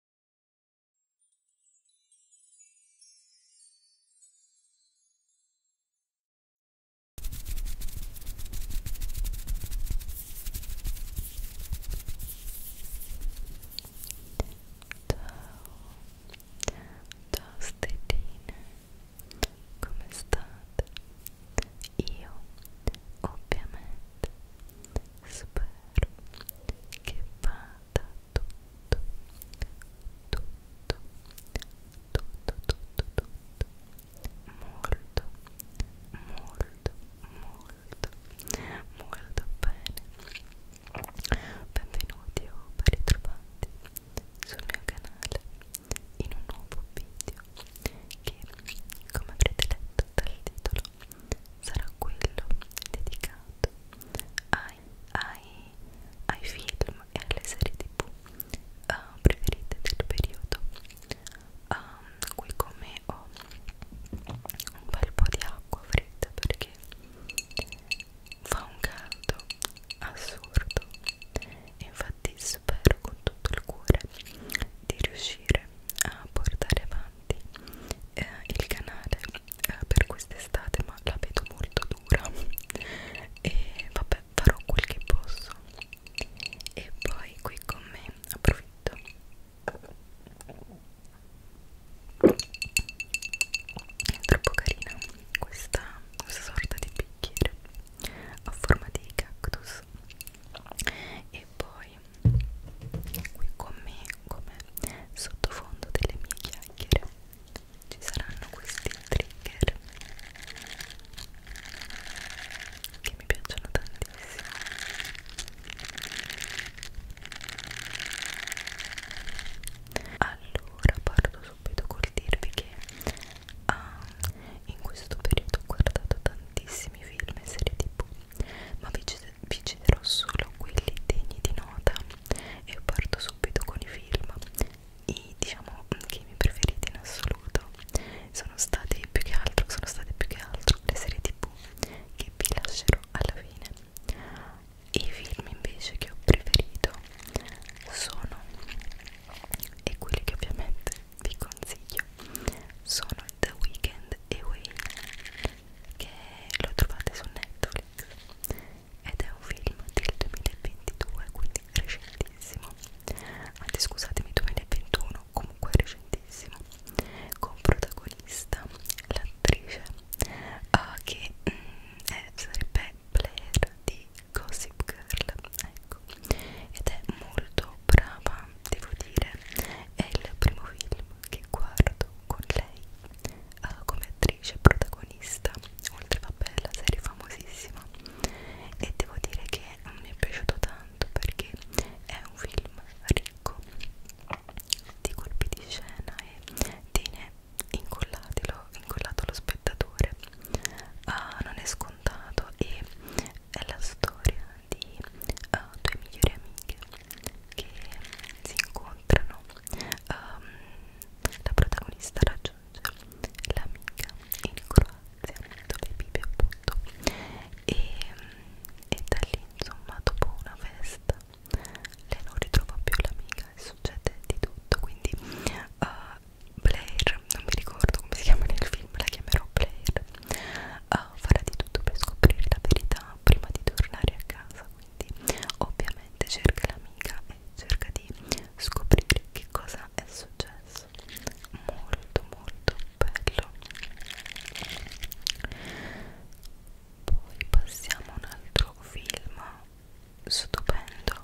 Ciao stelline, come state? Io ovviamente spero che vada tutto tutto tutto tutto tutto molto molto molto molto bene benvenuti o ben ritrovati sul mio canale in un nuovo video che come avrete letto dal titolo sarà quello dedicato ai, ai, ai film e alle serie tv uh, eh, preferite del periodo um, qui con me ho un bel po' di acqua fredda perché fa un caldo assurdo infatti spero con tutto il cuore di riuscire aiutare a portare avanti eh, il canale eh, per quest'estate ma la vedo molto dura e vabbè farò quel che posso e poi qui con me approfitto è troppo carina questa, questa sorta di bicchiere a forma di cactus e poi voi qui con me come sottofondo delle mie chiacchiere ci saranno questi trigger che mi piacciono tantissimo allora parto subito col dirvi che ah, in questo periodo ho guardato tantissimi film e serie tv ma vi cederò solo quelli degni di nota e parto subito con i film i diciamo che i miei preferiti in assoluto sono stati più che altro sono state più che altro le serie tv che vi lascerò alla fine i film invece che ho preferito sono e quelli che ovviamente vi consiglio sono The Weeknd e Wayne che lo trovate su Netflix ed è un film del 2022 quindi recentissimo anzi scusatemi 2021 comunque recentissimo con protagonista l'attrice uh, che mh, mm, è, sarebbe Blair di Gossip Girl ecco ed è molto brava devo dire è il primo film che guardo con lei uh, come attrice protagonista oltre vabbè la serie famosissima e devo dire che mi è piaciuto tanto perché è un film ricco di colpi di scena e tiene incollato lo spettatore uh, non è scontato e è la storia di uh, due migliori amiche che si incontrano. Um, la protagonista raggiunge l'amica in Croazia dove vive appunto e, e da lì insomma dopo una festa lei non ritrova più l'amica e succede di tutto quindi uh, Blair, non mi ricordo come si chiama nel film, la chiamerò Blair uh, farà di tutto per scoprire la verità prima di tornare a casa quindi ovviamente cerca l'amica e cerca di scoprire che cosa è successo molto molto bello poi passiamo a un altro film stupendo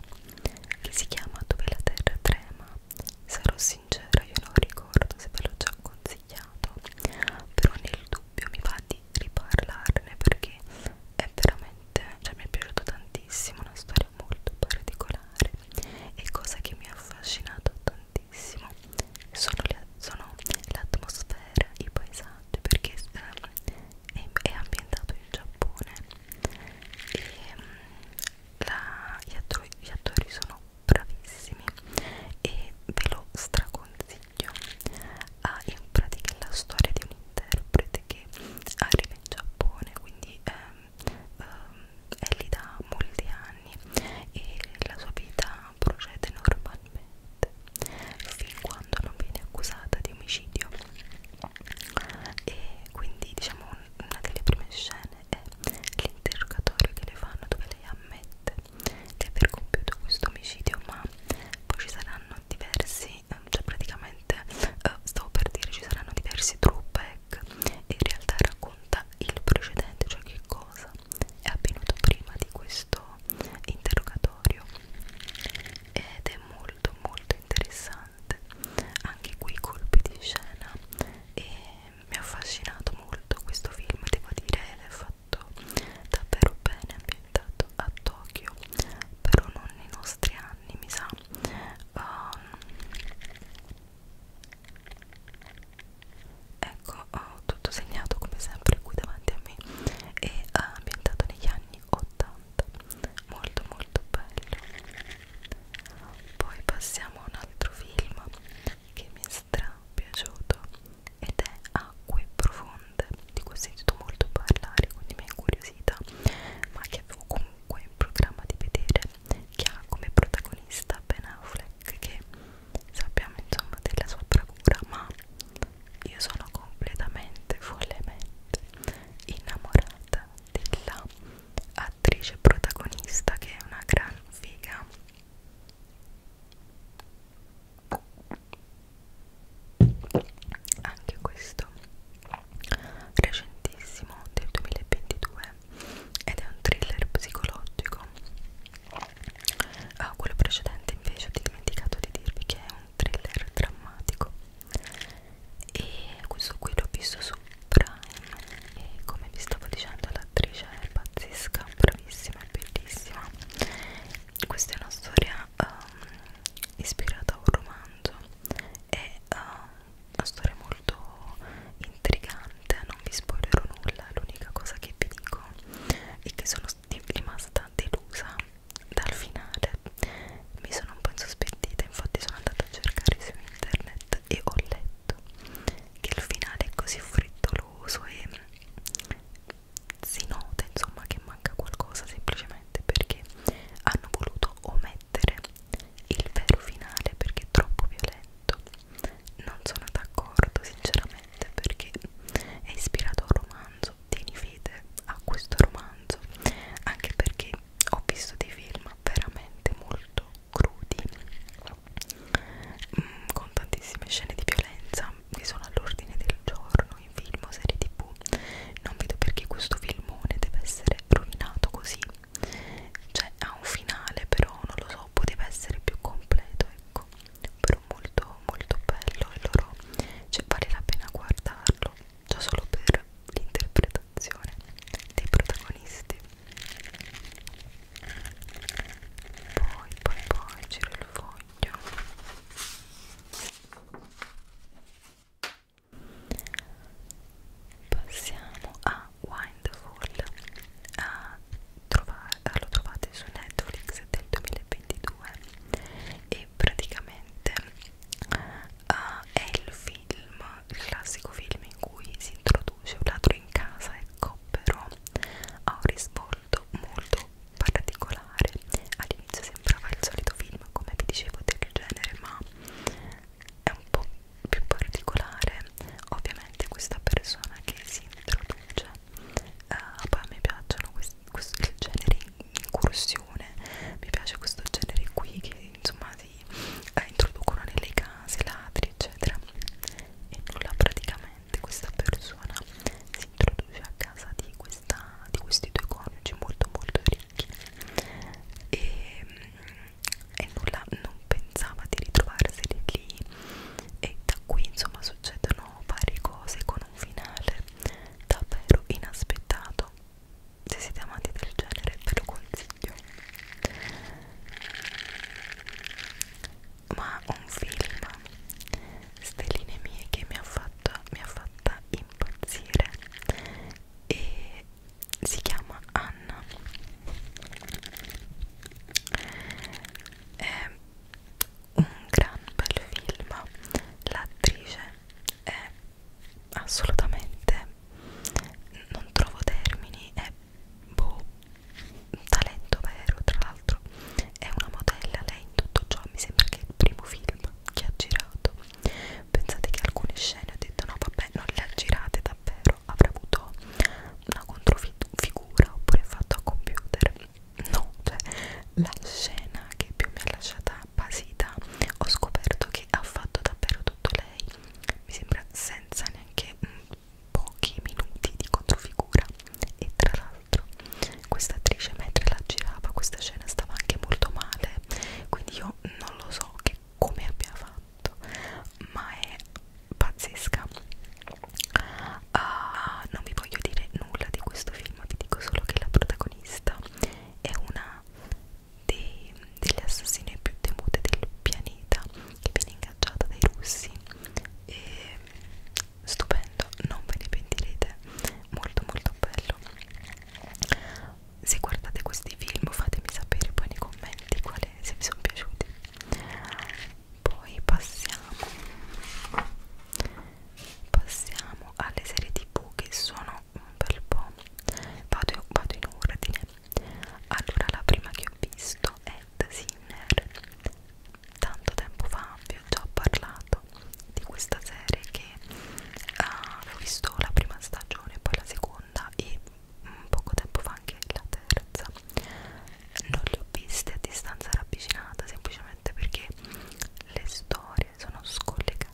che si chiama Dove la terra trema sarò sì sincera io non ricordo se ve l'ho già consigliato però nel dubbio mi va di riparlarne perché è veramente cioè mi è piaciuto tantissimo una storia molto particolare e cosa che mi ha affascinato tantissimo sono le, sono l'atmosfera i paesaggi perché eh, è, è ambientato in Giappone e um, la, gli, attori, gli attori sono bravissimi e ve lo straconsiglio ha ah, in pratica la storia di un interprete che arriva in Giappone quindi ehm, ehm, è lì da molti anni e la sua vita procede normalmente fin quando non viene accusata di omicidio e quindi diciamo una delle prime scene quale è l'interrogatorio che le fanno dove lei ammette di aver compiuto questo omicidio ma poi ci saranno diversi ehm, cioè praticamente uh, stavo per dire ci saranno diversi throwback e in realtà racconta il precedente cioè che cosa è avvenuto prima di questo interrogatorio ed è molto molto interessante anche qui colpi di scena e mi ha affascinato molto questo film, devo dire è fatto davvero bene, ambientato a Tokyo, però non nei nostri anni mi sa. Um, ecco, ho tutto segnato come sempre qui davanti a me e eh, ambientato negli anni 80, molto molto bello. Poi passiamo a un altro film che mi è stra piaciuto ed è Acque Profonde di cui ho sentito molto parlare quindi mi è incuriosita ma che avevo comunque in programma di vedere che ha come protagonista Ben Affleck che sappiamo insomma della sua bravura ma io sono completamente follemente innamorata della attrice protagonista che è una gran figa anche questo recentissimo del 2022 ed è un thriller psicologico ah, quello precedente invece ho dimenticato di dirvi che è un thriller drammatico e questo qui l'ho visto su Brian e come vi stavo dicendo l'attrice è pazzesca, bravissima e bellissima questa è una storia um, ispirata a un romanzo è uh, una storia molto intrigante non vi spoilerò nulla l'unica cosa che vi dico è che sono rimasta delusa dal finale mi sono un po' insospettita infatti sono andata a cercare su internet e ho letto fatto che il finale è così frettoloso e mm, si nota insomma che manca qualcosa semplicemente perché hanno voluto omettere il vero finale perché è troppo violento non sono d'accordo sinceramente perché è ispirato a un romanzo tieni fede a questo romanzo anche perché ho visto dei film veramente molto crudi mh, mm, con tantissime scene di violenza che sono all'ordine del giorno in film o serie tv non vedo perché questo filmone deve essere rovinato così cioè ha un finale però non lo so poteva essere più completo ecco però molto molto bello e loro cioè vale la pena guardarlo già solo per l'interpretazione valutazione dei protagonisti poi poi poi giro il foglio passiamo a Windfall a trovare, lo trovate su Netflix del 2022 e praticamente uh, è il film film, il classico film in cui si introduce un ladro in casa, ecco però ha un risvolto molto particolare. All'inizio sembrava il solito film, come vi dicevo, del genere, ma è un po' più particolare. Ovviamente questa persona che si introduce, uh, poi mi piacciono questi, questo, il genere incursione, mi piace questo genere qui che insomma si eh, introducono nelle case, ladri eccetera e nulla praticamente questa persona si introduce a casa di, questa, di questi due coniugi molto molto ricchi e, mm, e nulla non pensava di ritrovarsi lì e da qui insomma succedono varie cose con un finale davvero inaspettato se siete amanti del genere ve lo consiglio meglio ma un film stelline mie che mi ha, fatto, mi ha fatta impazzire e si chiama Anna è un gran bel film l'attrice è assolutamente non trovo termini è boh talento vero tra l'altro è una modella lei in tutto ciò mi sembra che è il primo film che ha girato pensate che alcune scene ho detto no vabbè non le ha girate davvero avrà avuto una controfigura oppure fatto a computer no cioè la scena che più mi ha lasciata basita ho scoperto che ha fatto davvero tutto lei mi sembra senza neanche mh, pochi minuti di controfigura e tra l'altro questa attrice mentre la girava questa scena stava anche molto male quindi io non lo so che come abbia fatto ma è pazzesca uh, non vi voglio dire nulla di questo film vi dico solo che la protagonista è una dei, delle assassine più temute del pianeta che viene ingaggiata dai russi e stupendo non ve ne pentirete molto molto bello se guardate questi film fatemi sapere poi nei commenti quale, se vi sono piaciuti poi passiamo passiamo alle serie tv che sono sono un bel po'. Vado, vado in ordine. Allora, la prima che ho visto è The Sinner. Tanto tempo fa vi ho già parlato di questa serie che uh, ho visto la prima stagione, poi la seconda e um, poco tempo fa anche la terza. Non le ho viste a distanza ravvicinata semplicemente perché le storie sono scollegate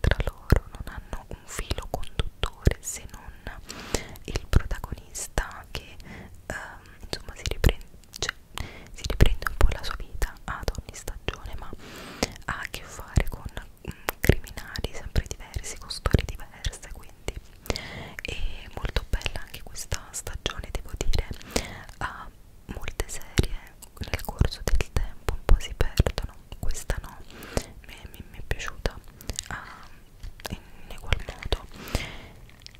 tra loro non hanno un filo conduttore se non il protagonista che ehm, insomma si riprende, cioè, si riprende un po' la sua vita ad ogni stagione ma ha a che fare con mh, mm, criminali sempre diversi, con storie diverse quindi è molto bella anche questa stagione devo dire ha molte serie nel corso del tempo un po' si perdono no, questa no, mi, mi, mi è piaciuta ah, in egual modo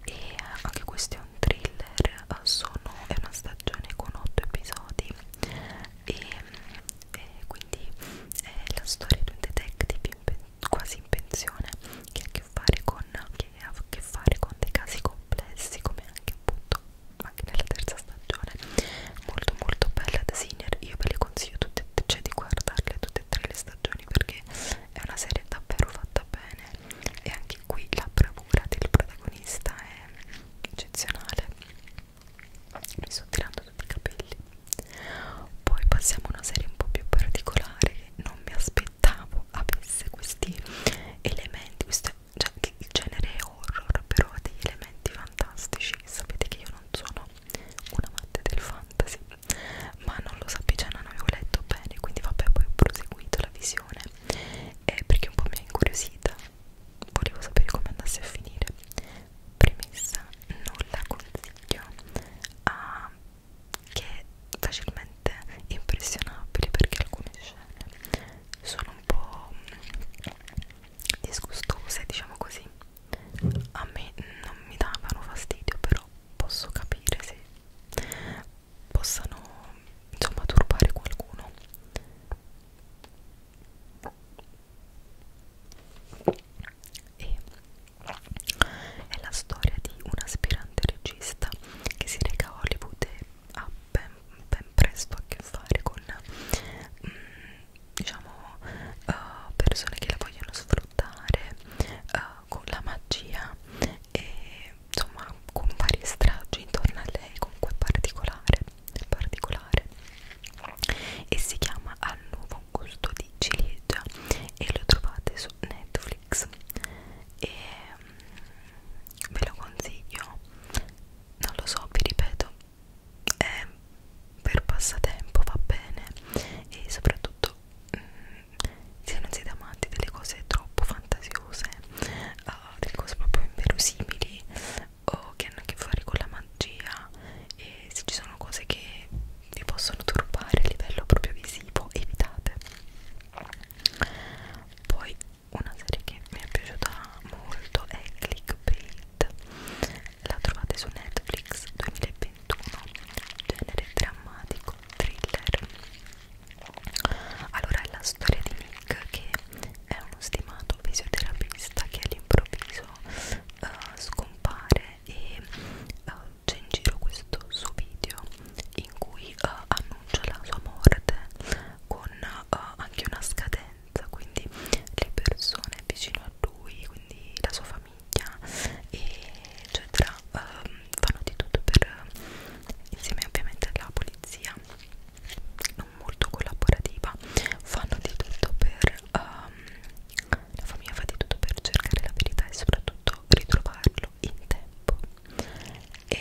e eh, anche questo è un thriller, eh, sono, è una stagione con 8 episodi e, mm, e quindi è la storia di un detective in pen, quasi in pensione che ha a che fare con che ha a che fare con dei casi complessi come anche appunto anche nella terza stagione arancione molto molto bella da Senior io ve le consiglio tutte e cioè di guardarle tutte e tre le stagioni perché è una serie davvero fatta bene e anche qui la bravura del protagonista è eccezionale mi sto tirando tutti i capelli poi passiamo a una serie un po' più particolare che non mi aspettavo avesse questi elementi questo cioè, il genere è horror però ha degli elementi fantastici sapete che io non sono un amante del fantasy, ma non lo sapevo, cioè non avevo letto bene, quindi vabbè poi ho proseguito la visione eh, perché un po' mi ha incuriosita, volevo sapere come andasse a finire. Premessa, non la consiglio a che è facilmente impressionabile perché alcune scene sono un po' disgustose diciamo così a me non mi davano fastidio però posso capire se possano insomma turbare qualcuno e è la storia di un aspirante regista che si reca a Hollywood e ha ben, ben presto a che fare con mm, diciamo uh, persone che la vogliono sfruttare uh, con la magia e insomma con varie stragi intorno a lei comunque particolare particolare e si chiama Al nuovo gusto di ciliegia e lo trovate su Netflix e um, ve lo consiglio non lo so vi ripeto è eh, per passatempo va bene e soprattutto mh, mm, se non siete amanti delle cose troppo fantasiose uh, delle cose proprio inverosimili o che hanno a che fare con la magia e se ci sono cose che vi possono turbare a livello proprio visivo evitate poi una serie che mi è piaciuta molto è Clickbait Net la trovate su Netflix 2021 genere drammatico thriller allora è la storia di Nick che è uno stimato fisioterapista che all'improvviso uh, scompare e uh, c'è in giro questo suo video in cui uh, annuncia la sua morte con uh, anche una scadenza presenza, quindi le persone vicino a lui, quindi la sua famiglia, eccetera, ehm, fanno di tutto per, insieme ovviamente alla polizia, non molto collaborativa, fanno di tutto per, ehm, la famiglia fa di tutto per cercare la verità e soprattutto ritrovarlo in tempo. È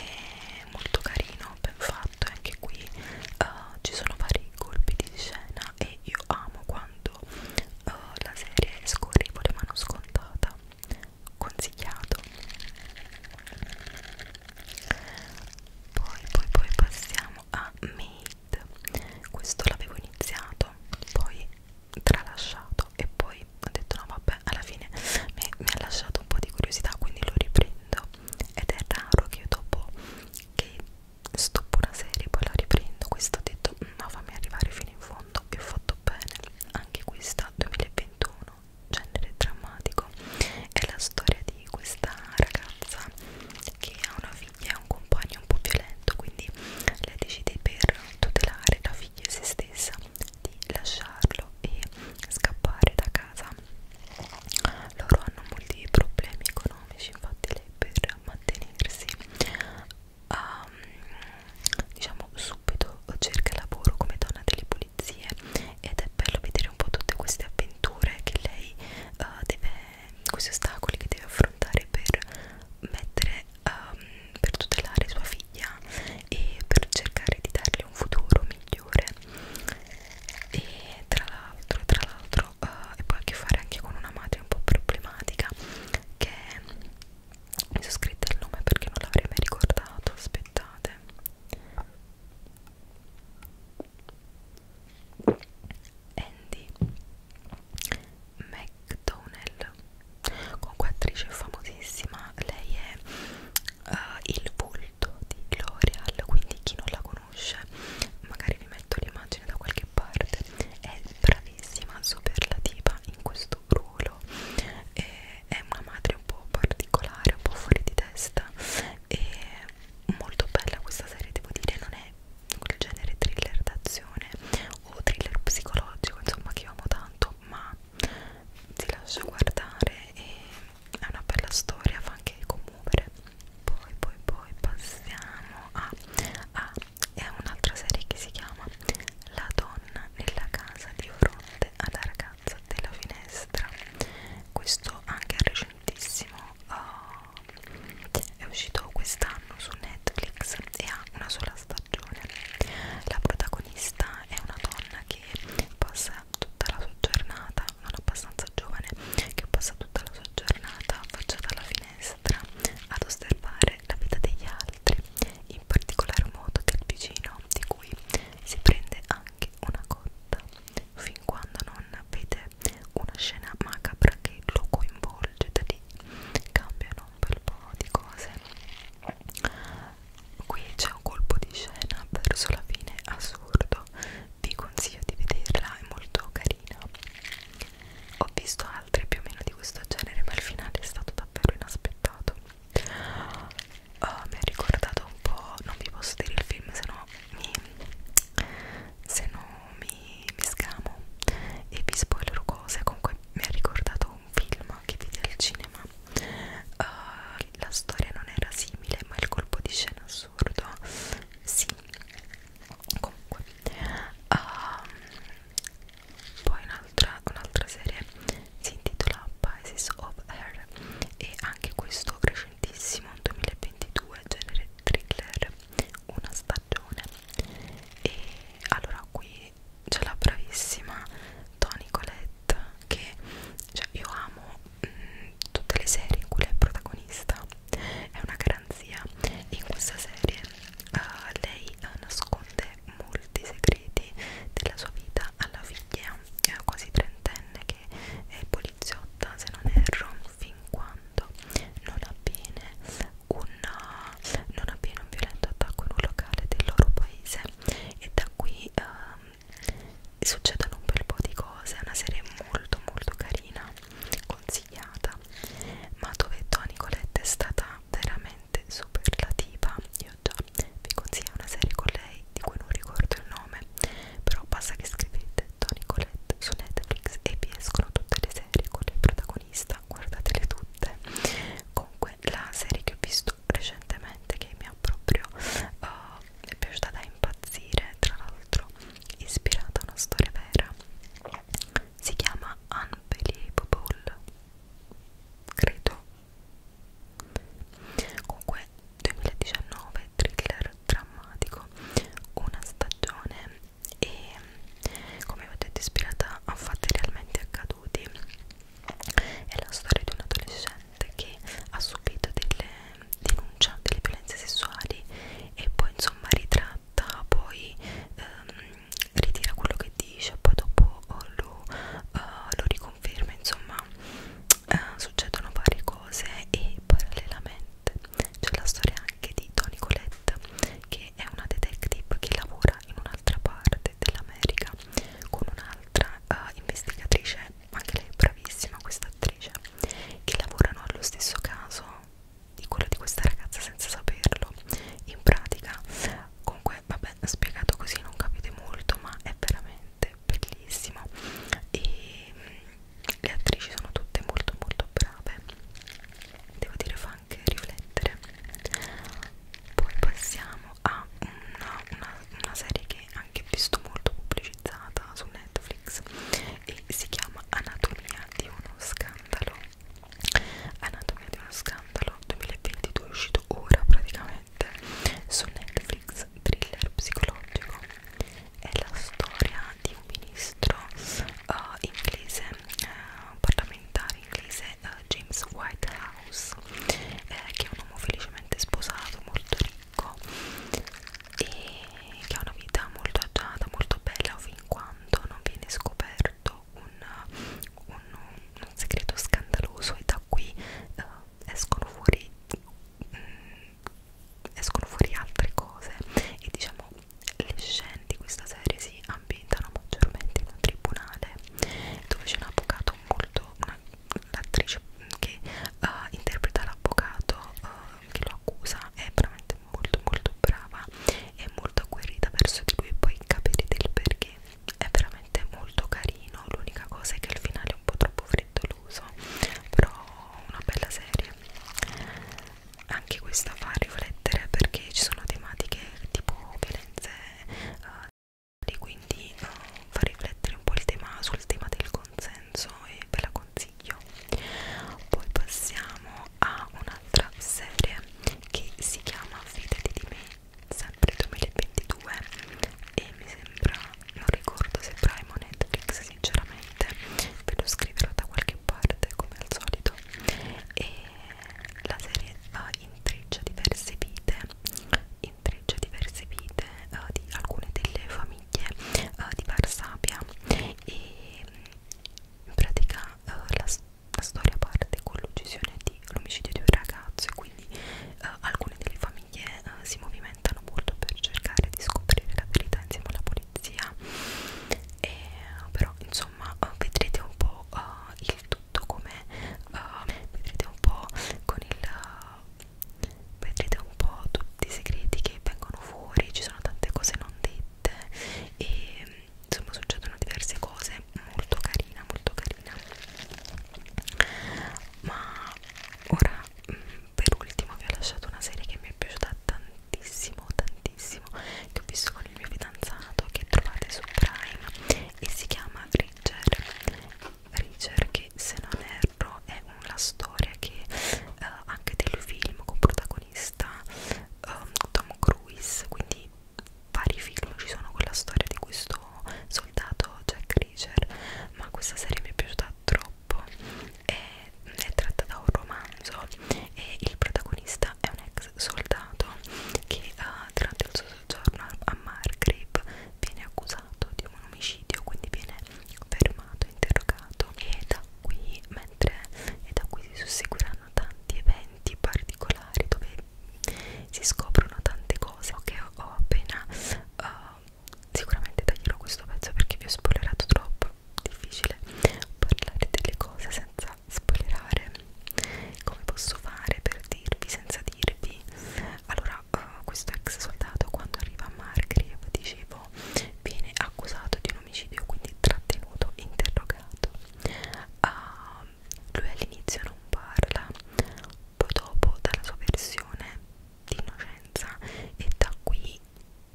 molto carino, ben fatto fatto e anche qui uh, ci sono vari colpi di scena e io amo quando uh, la serie scorre la mano scontata consigliato poi poi poi passiamo a Made questo l'avevo iniziato poi tralasciato e poi ho detto no vabbè alla fine mi, mi ha lasciato un po' di curiosità quindi lo riprendo ed è raro che io dopo che stoppo una serie poi la riprendo questa ho detto no mm, fammi arrivare fino in fondo e ho fatto bene anche questa 2021 genere drammatico è la storia di questa ragazza che ha una figlia e un compagno un po' violento quindi lei decide per tutelare la figlia e se stessa di lasciarlo e scappare da casa loro hanno molti problemi economici infatti lei per mantenersi um, diciamo subito cerca lavoro come donna delle pulizie ed è bello vedere un po' tutte queste avventure che lei uh, deve questi ostacoli che deve affrontare per mettere um, per tutelare sua figlia e per cercare di darle un futuro migliore e tra l'altro tra l'altro uh, e poi a che fare anche con una madre un po' problematica che mi sono scritta il nome perché non l'avrei mai ricordato aspettate Andy McDonnell comunque attrice famosissima lei è uh, il bull prodotto di L'Oreal quindi chi non la conosce magari vi metto l'immagine da qualche parte è bravissima superlativa in questo ruolo e è una madre un po' particolare un po' fuori di testa e molto bella questa serie devo dire non è quel genere thriller d'azione o thriller psicologico insomma che io amo tanto ma si lascia guardare e è una bella storia, fa anche commuovere. Poi, poi, poi passiamo a, a è un'altra serie che si chiama La donna nella casa di fronte alla ragazza della finestra. Questo anche è recentissimo, uh, è uscito quest'anno su Netflix e ha una sola stagione. La protagonista è una donna che passa passa tutta la sua giornata non abbastanza giovane che passa tutta la sua giornata affacciata alla finestra ad osservare la vita degli altri in particolar modo del vicino di cui si prende anche una cotta fin quando non vede una scena macabra che lo coinvolge da lì cambiano un bel po' di cose qui c'è un colpo di scena verso la fine assurdo vi consiglio di vederla, è molto carina. Ho visto altre più o meno di questo genere, ma il finale è stato davvero inaspettato. Oh, mi ha ricordato un po', non vi posso dire il film, se no mi, se no mi, mi scamo e vi spoilerò cose. Comunque mi ha ricordato un film che vidi al cinema. Uh, ok, la storia non era simile, ma il colpo di scena assurdo, sì, comunque, um, poi un'altra un serie si intitola Pisces of Air e anche questo recentissimo 2022 genere thriller una stagione e allora qui c'è la bravissima Toni Collette Pitt che cioè, io amo mh, mm, tutte le serie in cui lei è protagonista è una garanzia e in questa serie uh, lei uh, nasconde molti segreti della sua vita alla figlia eh, quasi trentenne che è poliziotta se non erro fin quando non avviene un, non avviene un violento attacco in un locale del loro paese e da qui um, succedono un bel po' di cose, è una serie molto molto carina, consigliata, ma dove Toni Colette è stata veramente superlativa, io già vi consiglio una serie con lei di cui non ricordo il nome, però basta che scrivete Toni Colette su Netflix e vi escono tutte le serie con il protagonista, guardatele tutte. Comunque la serie che ho visto visto recentemente che mi ha proprio uh, è piaciuta da impazzire tra l'altro ispirata a una storia vera si chiama Unbelievable credo comunque 2019 thriller drammatico una stagione e come ho detto ispirata a fatti realmente accaduti è la storia di un adolescente che ha subito delle denunce, delle violenze sessuali e poi insomma ritratta, poi ehm, ritira quello che dice, poi dopo oh, lo, uh, lo riconferma, insomma uh, succedono varie cose e parallelamente c'è la storia anche di Toni Colette che è una detective che lavora in un'altra parte dell'America con un'altra uh, investigatrice anche lei è bravissima questa attrice che lavorano allo stesso caso di quello di questa ragazza senza saperlo in pratica comunque vabbè spiegato così non capite molto ma è veramente bellissimo e mm, le attrici sono tutte molto molto brave devo dire fa anche riflettere poi passiamo ha una, una, una serie che anche visto molto pubblicizzata su Netflix e si chiama Anatomia di uno scandalo Anatomia di uno scandalo 2022 è uscito ora praticamente su Netflix thriller psicologico è la storia di un ministro uh, inglese uh, parlamentare inglese uh, James Whitehall House eh, che è un uomo felicemente sposato, molto ricco e che ha una vita molto agiata, molto bella fin quando non viene scoperto un, un, un segreto scandaloso e da qui eh, escono fuori mh, mm, escono fuori altre cose e diciamo le scene di questa serie si ambientano maggiormente in un tribunale dove c'è un avvocato molto una, l'attrice che uh, interpreta l'avvocato uh, che lo accusa è veramente molto molto brava e molto agguerrita verso di lui poi capirete il perché è veramente molto carino l'unica cosa è che al finale è un po' troppo frettoloso però una bella serie anche questa fa riflettere perché ci sono tematiche tipo violenze uh, quindi uh, fa riflettere un po' il tema, sul tema del consenso e ve la consiglio poi passiamo a un'altra serie che si chiama Fidati di me sempre 2022 e mi sembra, non ricordo se Prime o Netflix sinceramente ve lo scriverò da qualche parte come al solito e la serie va in treccia diverse vite in trecce diverse vite uh, di alcune delle famiglie uh, di Varsavia e mm, in pratica uh, la, la storia parte con l'uccisione di l'omicidio di un ragazzo e quindi uh, alcune delle famiglie uh, si movimentano molto per cercare di scoprire la verità insieme alla polizia e, uh, però insomma uh, vedrete un po' uh, il tutto come uh, vedrete un po' con il uh, vedrete un po' tutti i segreti che vengono fuori ci sono tante cose non dette e insomma succedono diverse cose molto carina molto carina ma ora mm, per ultimo vi ho lasciato una serie che mi è piaciuta tantissimo tantissimo che ho visto con il mio fidanzato che trovate su Prime e si chiama Richard Reacher che se non erro è una storia che eh, anche del film con protagonista um, Tom Cruise quindi vari film ci sono con la storia di questo soldato Jack Reacher ma questa serie mi è piaciuta troppo è, è tratta da un romanzo e il protagonista è un ex soldato che uh, durante il suo del giorno a Margrave viene accusato di un omicidio quindi viene fermato, interrogato e da qui, mentre, e da qui si susseguiranno tanti eventi particolari dove si scoprono tante cose che ho, ho appena uh, sicuramente taglierò questo pezzo perché vi ho spoilerato troppo difficile parlare delle cose senza spoilerare come posso fare per dirvi senza dirvi allora uh, questo ex soldato quando arriva a Margrave dicevo viene accusato di un omicidio quindi trattenuto interrogato uh, lui all'inizio non parla poi dopo dalla sua versione di innocenza e da qui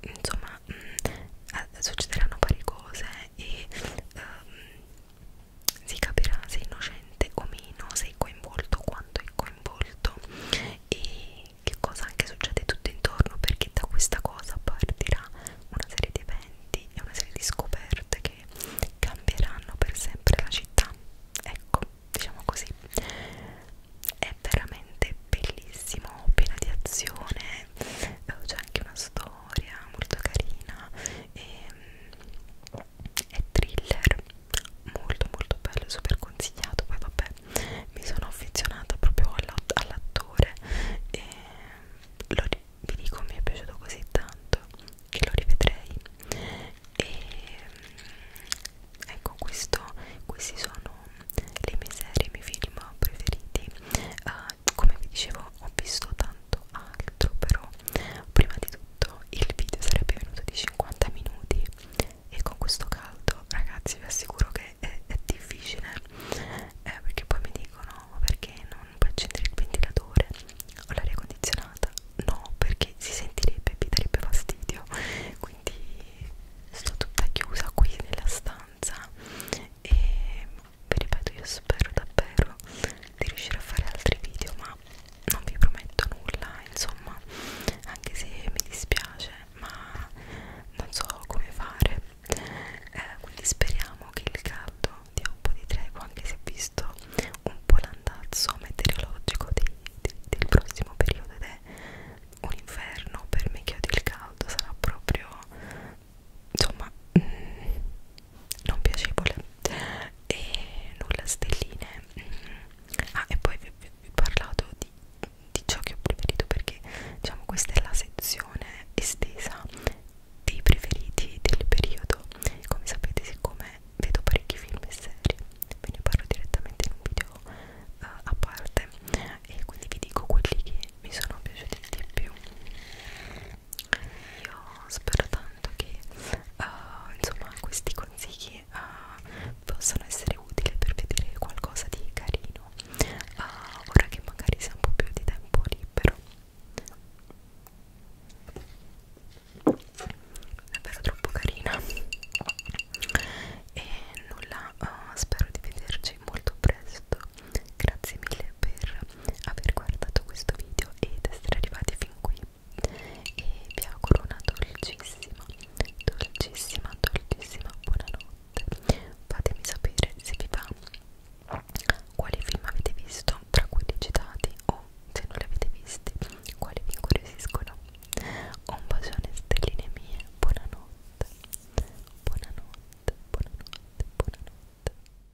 insomma mh, mm, eh, succederanno varie cose e um, si capirà se innocente o meno, se è coinvolto o quanto è coinvolto e che cosa anche succede tutto intorno perché da questa cosa partirà una serie di eventi e una serie di scoperte che cambieranno per sempre la città ecco diciamo così è veramente bellissimo piena di azione eh, c'è anche una storia molto carina e ehm, è thriller molto molto bello super consigliato poi vabbè mi sono affezionata proprio all'attore e lo, vi dico mi è piaciuto così tanto che lo rivedrei e ecco questo questi sono le mie serie i miei film preferiti uh, come vi dicevo ho visto tanti tanto altro però prima di tutto il video sarebbe venuto di 50 minuti e con questo caldo ragazzi vi assicuro che è, è difficile eh, perché poi mi dicono perché non puoi accendere il ventilatore o l'aria condizionata no perché si sentirebbe e vi darebbe fastidio quindi sto tutta chiusa qui nella stanza e vi ripeto io spero davvero di riuscire a fare altri video ma ma non vi prometto nulla insomma anche se mi dispiace ma non so come fare eh, quindi speriamo che il caldo dia un po' di tregua anche se ho visto un po' l'andazzo meteorologico dei, dei, del prossimo periodo ed è un inferno per me che odio il caldo sarà proprio insomma mm, non piacevole e nulla stelline mm. ah e poi vi, vi, vi ho parlato di, di ciò che ho preferito perché diciamo questa è la sezione estesa dei preferiti del periodo come sapete siccome vedo parecchi film e serie ve ne parlo direttamente in un video uh, a parte e quindi vi dico quelli che mi sono piaciuti di più io spero tanto che uh, insomma questi consigli uh, possano essere utili per vedere qualcosa di carino uh, ora che magari si ha un po' più di tempo libero davvero troppo carina e nulla uh, spero di vederci molto presto grazie mille per aver guardato questo video ed essere arrivati fin qui e vi auguro una dolcissima, dolcissima, dolcissima buonanotte fatemi sapere se vi va quali film avete visto tra quelli citati o se non li avete visti quali vi incuriosiscono un bacione stelline mie buonanotte buonanotte buonanotte buonanotte